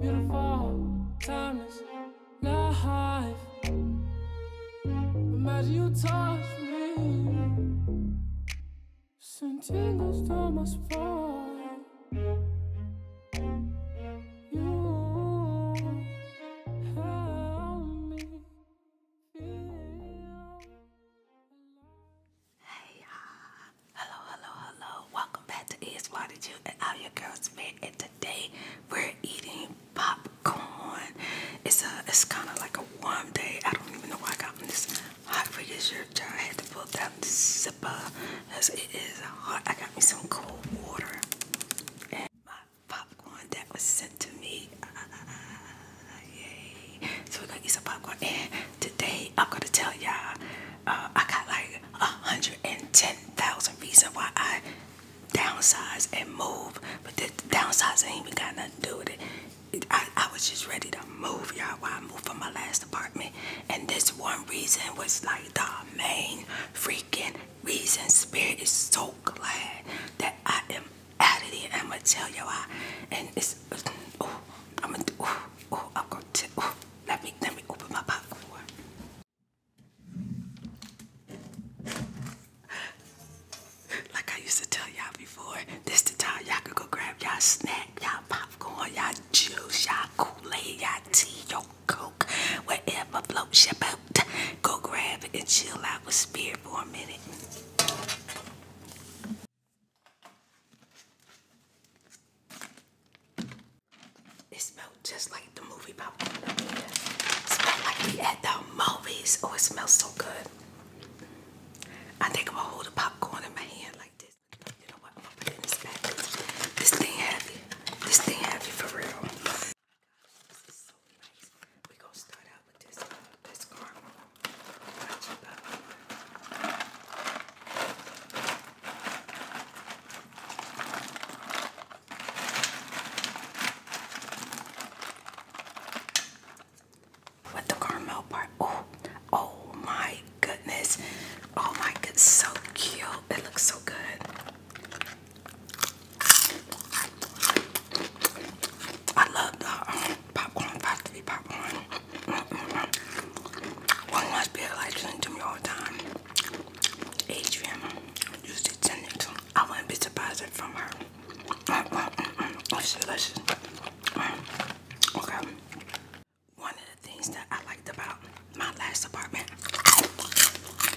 Beautiful, timeless life. Imagine you touch me. Send tingles down my You help me feel. Hey, hello, hello, hello. Welcome back to ESY. Did you? and all your girls met, and today we're eating popcorn. It's a, it's kind of like a warm day. I don't even know why I got this hot refrigerator. I had to pull down the zipper because it is hot. I got me some cold water and my popcorn that was sent to me. Ah, ah, ah, so we're gonna eat some popcorn, and today I'm gonna tell y'all. Uh, I got like 110,000 reasons why I downsize and move, but the downsize ain't even got nothing to do with it. I, was just ready to move, y'all. Why I moved from my last apartment, and this one reason was like the main freaking reason. Spirit is so glad that I am out of here. I'm gonna tell you why, and it's oh, I'm gonna oh, I'm gonna tell. Oh, let me let me open my popcorn. Like I used to tell y'all before, this the time y'all could go grab y'all snack, y'all popcorn, y'all juice, y'all Kool-Aid, y'all tea, your coke, whatever floats your boat. Go grab it and chill out with spirit for a minute. It smells just like the movie popcorn up like we at the movies. Oh, it smells so good. I think I'm gonna hold the popcorn in my hand like this. You know what? I'm gonna this thing heavy. This thing heavy for real. Oh this is so nice. we gonna start out with this, uh, this caramel. With the caramel part. Oh, oh my goodness. Oh my goodness. So cute. It looks so good. I love the um, popcorn, factory popcorn. One must be a license to me all the time. Adrian used to ten I wouldn't be surprised from her. Mm. Okay. One of the things that I liked about my last apartment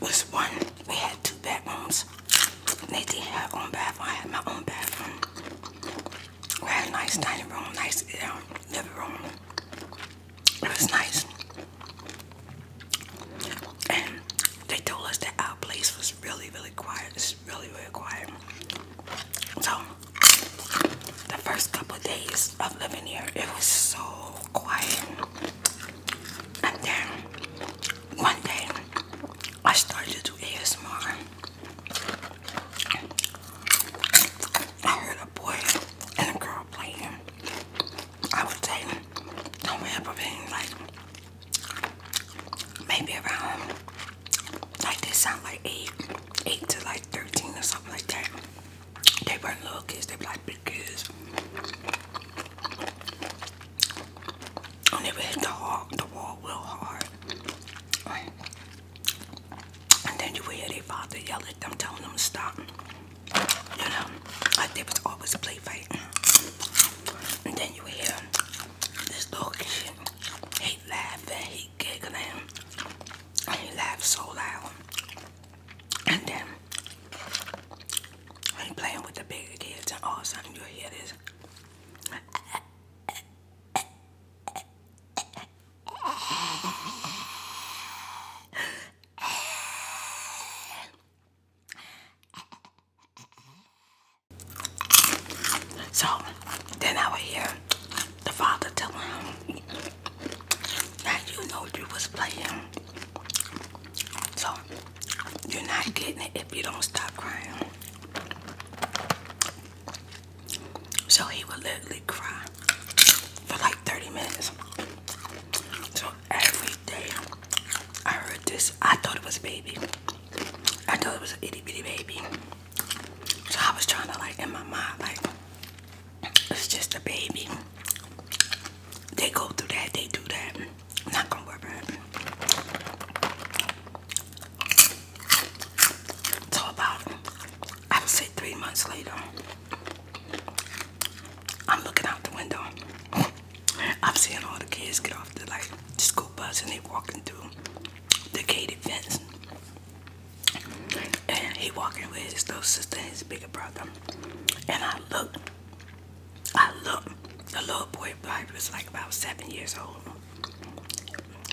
was one, we had two bedrooms. They did have own bathroom. I had my own bathroom. We had a nice dining room, nice um, living room. It was nice. And they told us that our place was really, really quiet. It's really, really quiet. So, the first couple days of living here, it was so quiet. And then, one day, I started to do ASMR. I heard a boy and a girl playing. I would say somewhere between like maybe around like they sound like eight, eight to like thirteen or something like that. They weren't little kids, they were like big kids. And they would hit the wall, the wall real hard. And then you would hear their father yell at them, telling them to stop you know, like there always a play fight. And then you hear this little kid, he laughing, he giggling, and he laughs so loud. And then he playing with the bigger kids, and all of a sudden you hear this. So then I would hear the father telling him that you know you was playing. So you're not getting it if you don't stop crying. So he would literally cry for like 30 minutes. So every day I heard this. I thought it was a baby. I thought it was an itty bitty baby. So I was trying to like in my mind like it's just a baby. They go through that, they do that. not gonna worry about it. So about I would say three months later I'm looking out the window. I'm seeing all the kids get off the like school bus and they walking through the gated fence. And he walking with his little sister and his bigger brother. And I look, I look, the little boy probably was like about seven years old.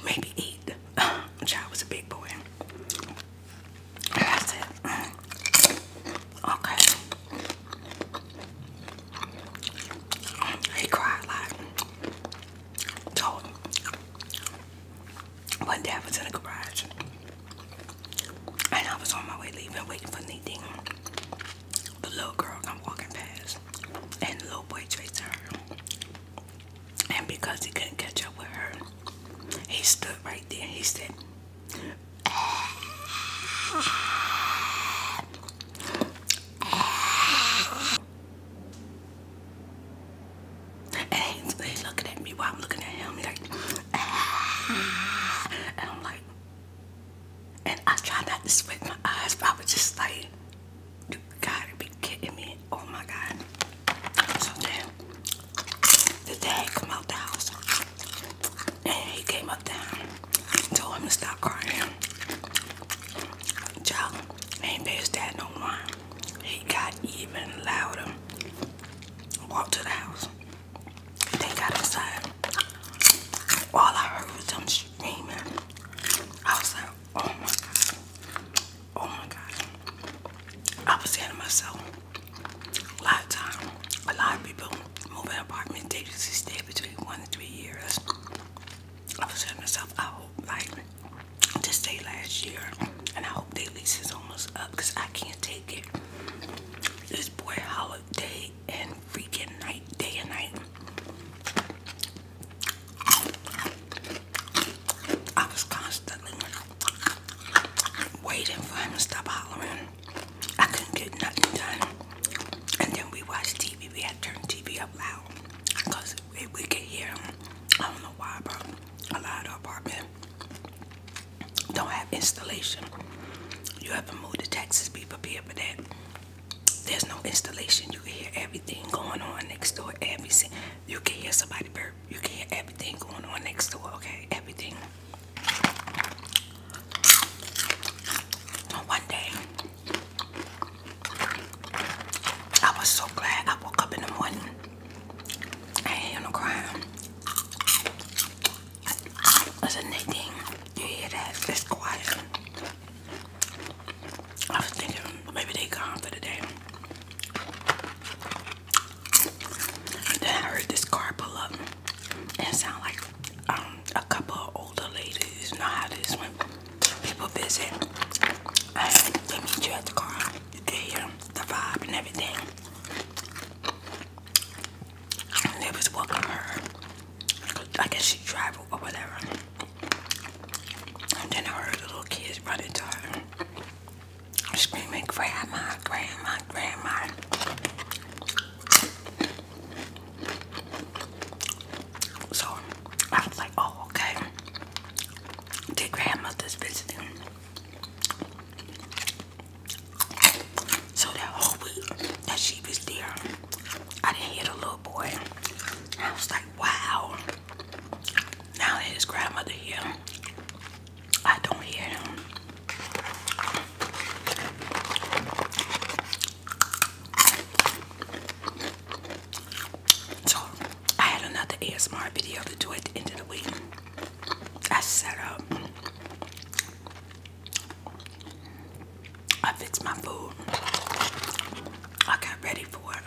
Maybe eight. The child was a big boy. I it. Okay. He cried a Told him. dad was in the garage. And I was on my way leaving, waiting for anything. The little girl come walking past. And the little boy chased her. And because he couldn't catch up with her, he stood right there. He said, he's, looking at me while I'm looking at him. like, and I'm like, and I try not to sweat my eyes, but I was just like, you gotta be kidding me. Oh my God. So then the day he came out the house. And he came up down. Told him to stop crying. Child ain't pay his dad no more. He got even louder. Walked to the house. They got inside. All I heard was them screaming. I was like, oh my god. Oh my god. I was saying to myself, a lot of time, a lot of people move in apartment, they usually stay between one and three years. I am telling myself, I like this day last year, and I hope their lease is almost up because I can't take it. This boy hollered day and freaking night, day and night. I was constantly waiting for him to stop hollering. I couldn't get nothing done. And then we watched TV. We had turned TV up loud because we, we could hear them. I don't know why, but a lot of apartment don't have installation. You have to move to Texas, be prepared for that. There's no installation. You can hear everything going on next door. Everything. You can hear somebody burp. You can hear everything going on next door, okay? Everything. One day, I was so glad I woke up in the morning. I ain't no crying. It's a Nadine. You hear that? It's quiet. I was thinking maybe they gone for the day. then I heard this car pull up and sound like um, a couple of older ladies. You know how this when people visit they meet you at the car. they can hear the vibe and everything. And they was welcome her. I guess she traveled or whatever. And then I heard the little kids running to her. Screaming, grandma, grandma, grandma. So I was like, oh, okay. Dear grandmother's visiting. So that whole that she was there, I didn't hear the little boy. I was like, wow. Now that his grandmother here, I don't hear him. So I had another ASMR video to do at the end of the week. I set up. I fixed my food. I got ready for it.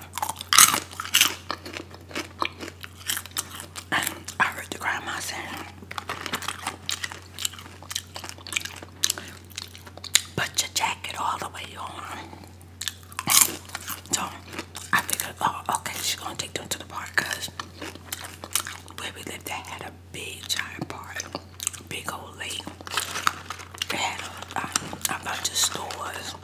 And I heard the grandma saying, Put your jacket all the way on. So I figured, oh, okay, she's gonna take them to the park where we lived, they had a big giant park, big old lake. They had a bunch of stores,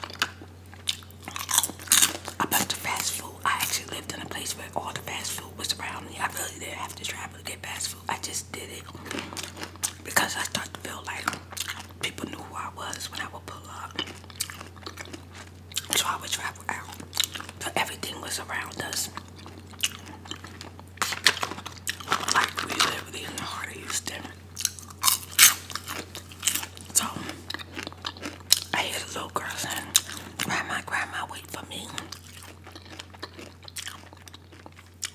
a bunch of fast food. I actually lived in a place where all the fast food food was around me. I really didn't have to travel to get fast food. I just did it because I started to feel like people knew who I was when I would pull up. So I would travel out. but everything was around us. Like we literally in the heart of Houston. So I hear the little girl saying, Grandma, Grandma, wait for me.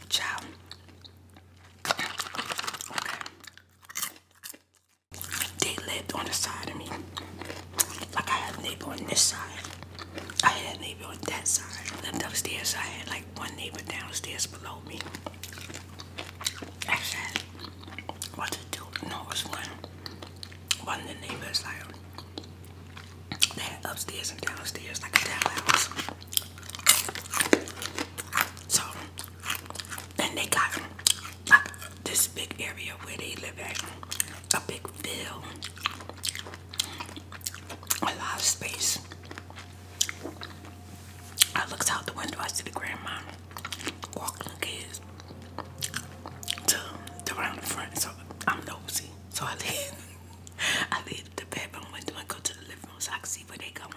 Ciao. They lived on the side of me. Like I had a neighbor on this side. I had a neighbor on that side. upstairs. I had like one neighbor downstairs below me. I had, what to do? No, it one. One of the neighbors like they had upstairs and downstairs like a townhouse. So, and they got this big area where they live at, a big field, a lot of space. I looked out the window, I see the grandma walking the kids to the the front. So I'm nosy. So I leave I leave the bedroom window I go to the living room so I can see where they going.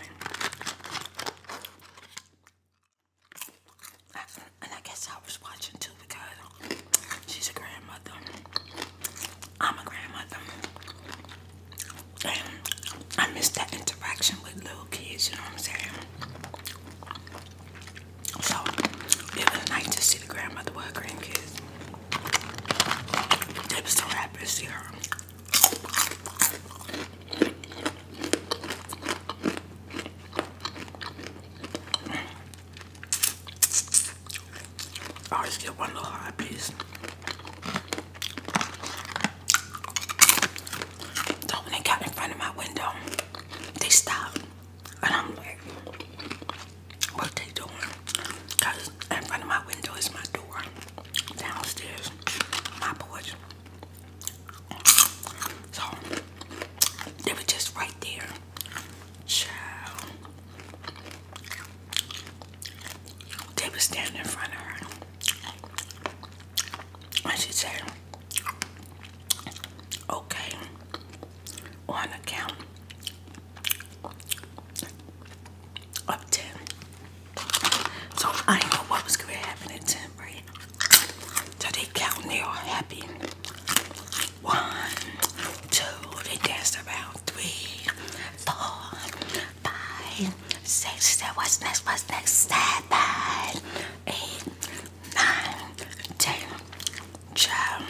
and I guess I was watching too because she's a grandmother. I'm a grandmother. And I miss that interaction with little kids, you know what I'm saying? So it was nice to see the grandmother with her grandkids. They were so happy to see her. I always get one little hot piece. So when they got in front of my window, they stopped. And I'm like, what they doing because in front of my window is my door downstairs my porch so they were just right there child they were standing in front of her and she said okay on count of 10. So I know what was going to happen at 10, right? So they count, they all happy. One, two, they danced around. Three, four, five, six, seven, what's next, what's next? Seven, eight, nine, ten, Child.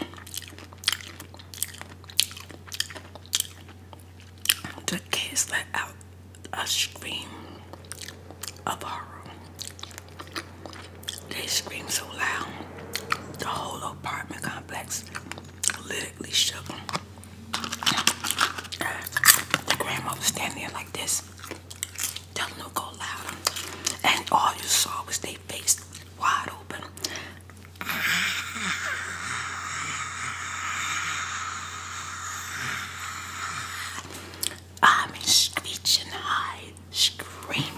The kids let out a scream of horror. They screamed so loud, the whole apartment complex literally shook. The grandma was standing there like this, telling them to go loud. And all you saw was they faced wide open. I mean, screeching high, screaming.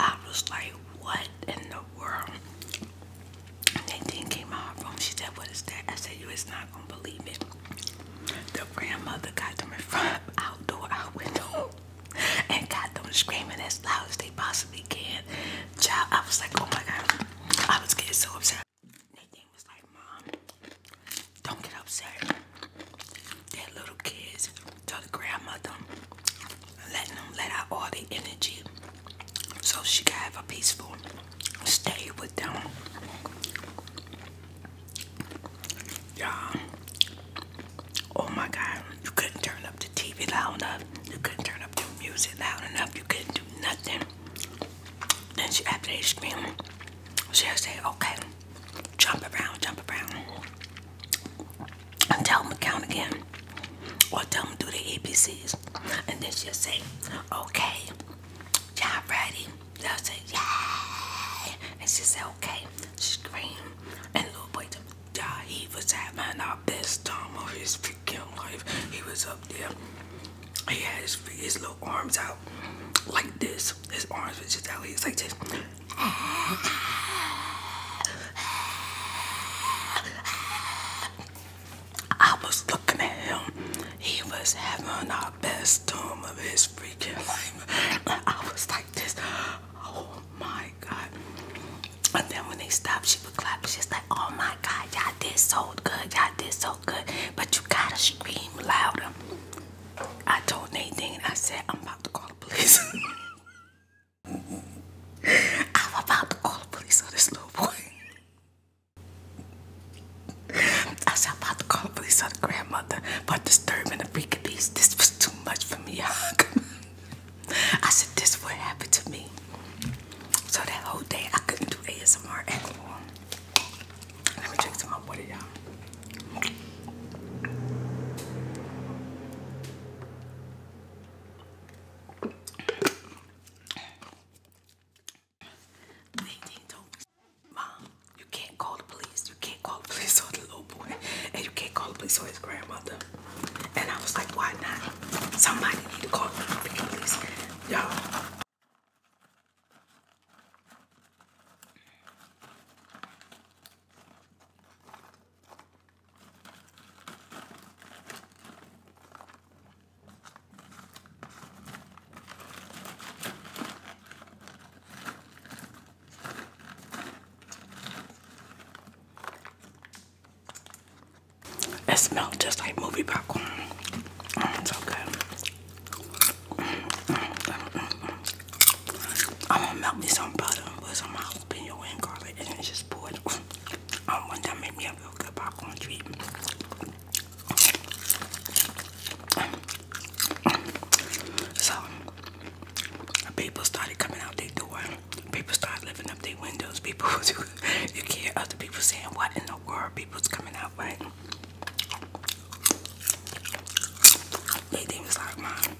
I was like, what in the world? And then came out of She said, what is that? I said, you is not going to believe it. The grandmother got them in front of outdoor out window and got them screaming as loud as they possibly can. I was like, oh my god. I was getting so upset. Nathan was like, Mom, don't get upset. That little kids. told the grandmother letting them let out all the energy so she can have a peaceful stay with them. Y'all, oh my God, you couldn't turn up the TV loud enough. You couldn't turn up the music loud enough. You couldn't do nothing. Then she, after they screamed, she'll say, okay, jump around, jump around. And tell them to count again. Or tell them to do the ABCs. And then she'll say, okay, you ready? they say, yeah. And she said, okay. She screamed. And little boy, yeah, he was having our best time of his freaking life. He was up there. He had his, little arms out like this. His arms was just out. He like this. I was looking at him. He was having our best time of his freaking life. I was like, Oh my god. And then when they stopped, she would clap. She's like, oh my god, y'all did so good. Y'all did so good. But you gotta scream louder. I told Nate Nadine, I said, I'm about to call the police. I'm about to call the police on this little boy. I said, I'm about to call the police on grandmother for disturbing the freaking peace. This was too much for me. I said, This what happened to me. So that whole day I couldn't do ASMR at all. Let me drink some more water, y'all. Mom, you can't call the police. You can't call the police on the little boy. And you can't call the police on his grandmother. And I was like, why not? Somebody need to call the police. Y'all. It smells just like movie popcorn. Mm, it's so good. Mm, mm, I'm gonna melt me some butter with some jalapeno and garlic and just pour it. I um, want that make me a real good popcorn treat. So people started coming out their door. People started lifting up their windows. People was you hear other people saying what in the world people's coming out, right? They think it's like mine.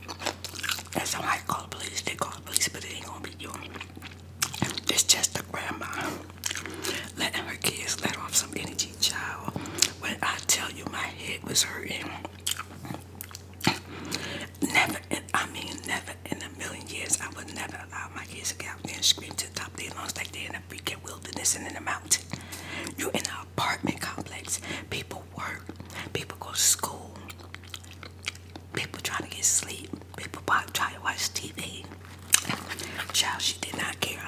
And I call the police, they call the police, but it ain't gonna be you. It's just the grandma letting her kids let off some energy, child. When I tell you my head was hurting. Never, in, I mean, never in a million years, I would never allow my kids to get out there and scream to the top of their lungs like they're in a freaking wilderness and in a mountain. You're in an apartment complex. People work. People go to school. People trying to get sleep. People try to watch TV. Child, she did not care.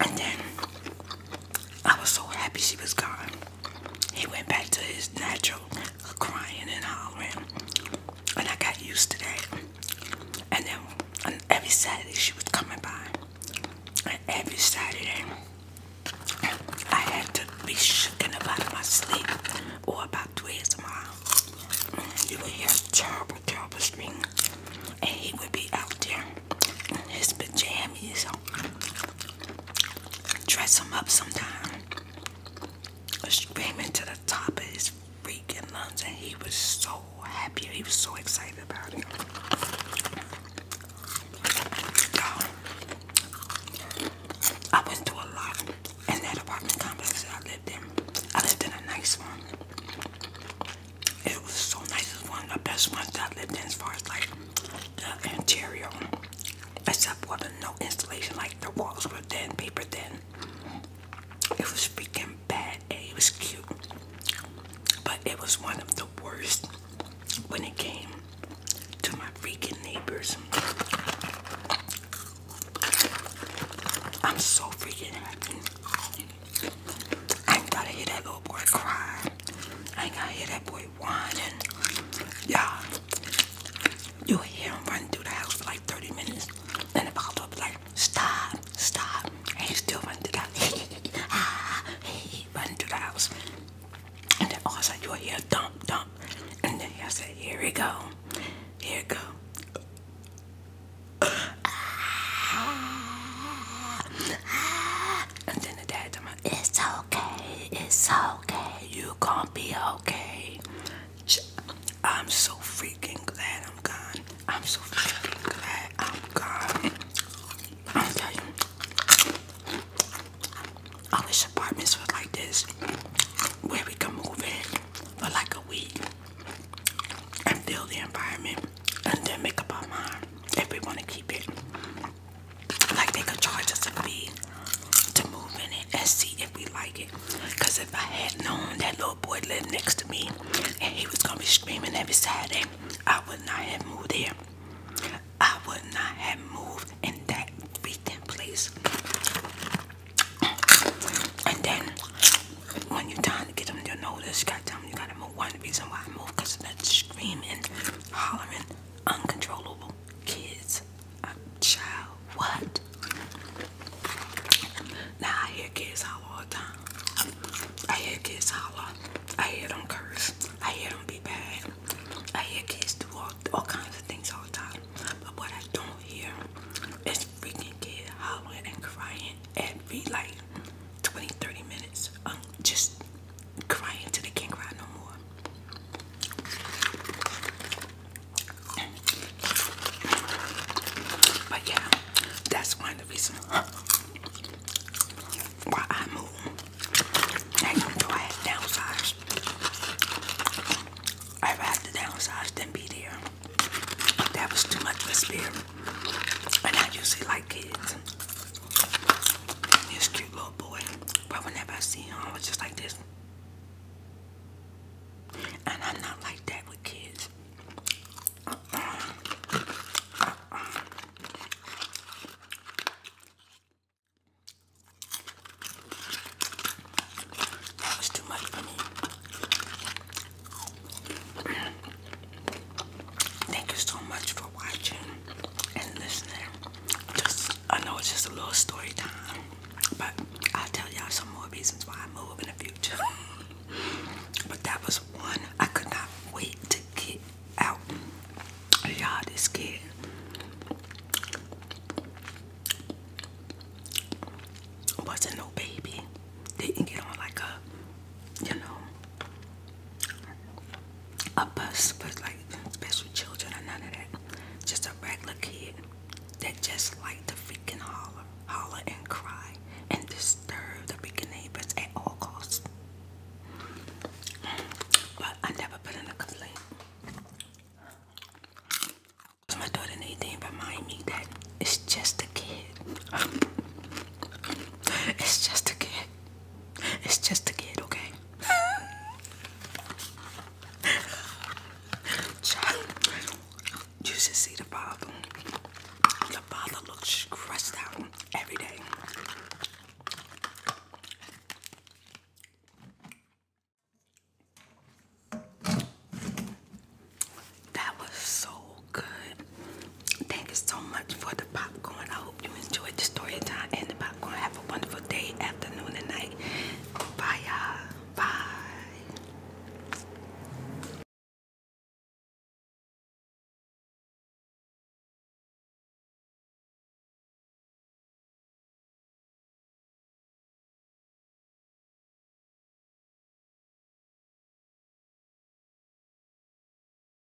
And then I was so happy she was gone. He went back to his natural crying and hollering. And I got used to that. And then and every Saturday she was coming by. And every Saturday I had to be shooken about my sleep or about twice mm, a mile. You would hear terrible, terrible screaming and he would be out there in his pajamas. Dress him up sometime, screaming to the top of his freaking lungs, and he was so happy. He was so excited about it. I went to a lot and that apartment complex that I lived in. I lived in a nice one. It was so nice. It was one of the best ones I lived in as far as like the interior. Except for the no installation, like the walls were thin, paper thin. It was freaking bad. and It was cute. But it was one of the worst when it came to my freaking neighbors. I'm so freaking happy I ain't gotta hear that little boy cry. I ain't gotta hear that boy whining. Y'all, you hear him running through the house for like 30 minutes. then the pop up like, stop, stop. And he's still running through the house. he running through the house. And then all of a sudden you'll hear dump, dump. And then I said, here we go. Here we go. Ah. Ah. And then the dad told it's okay, it's okay, you gonna be okay. I'm so freaking glad I'm gone. I'm so freaking glad I'm gone. I'll tell you, I wish apartments were like this, where we can move in for like a week and feel the environment and then make up our mind if we want to keep it like they could charge us a fee to move in it and see if we like it. Cause if I had known that little boy lived next to me and he was gonna be streaming every Saturday, I would not have moved there. I would not have moved in that freaking place. And then when you're trying to get them to notice, you tell them you gotta move. One reason why I moved because of that screaming hollering, uncontrollable kids. A child, what? Now I hear kids holler all the time. I hear kids holler. I hear them curse. I hear them be bad. I hear kids do all, all kinds of things all the time. But what I don't hear is freaking kids hollering and crying every like 20, 30 minutes. Um, just crying till they can't cry no more. But yeah, that's one of the reasons why I moved. And even though I had downsized, I had to downsize than be there. That was too much of spirit. And I usually like kids. This cute little boy. But whenever I see him, I was just like this. And I'm not like that with kids. Uh That was too much for me. Thank you so much for watching and listening. Just I know it's just a little story time, but I'll tell y'all some more reasons why I move in the future. but that was one I could not wait to get out. Y'all this scared. Wasn't no baby. Didn't get on like a you know, a bus for like special children or none of that. Just a regular kid that just liked to freaking holler, holler and cry and disturb the freaking neighbors at all costs. But I never put in a complaint. My daughter Nadine remind me that it's just a kid. it's just a kid. It's just a kid, okay? Child, you should see the father. The father looks stressed out every day. That was so good. Thank you so much for the popcorn. I hope you enjoyed the story time and the popcorn. Have a wonderful day, afternoon, and night. Bye, you Bye.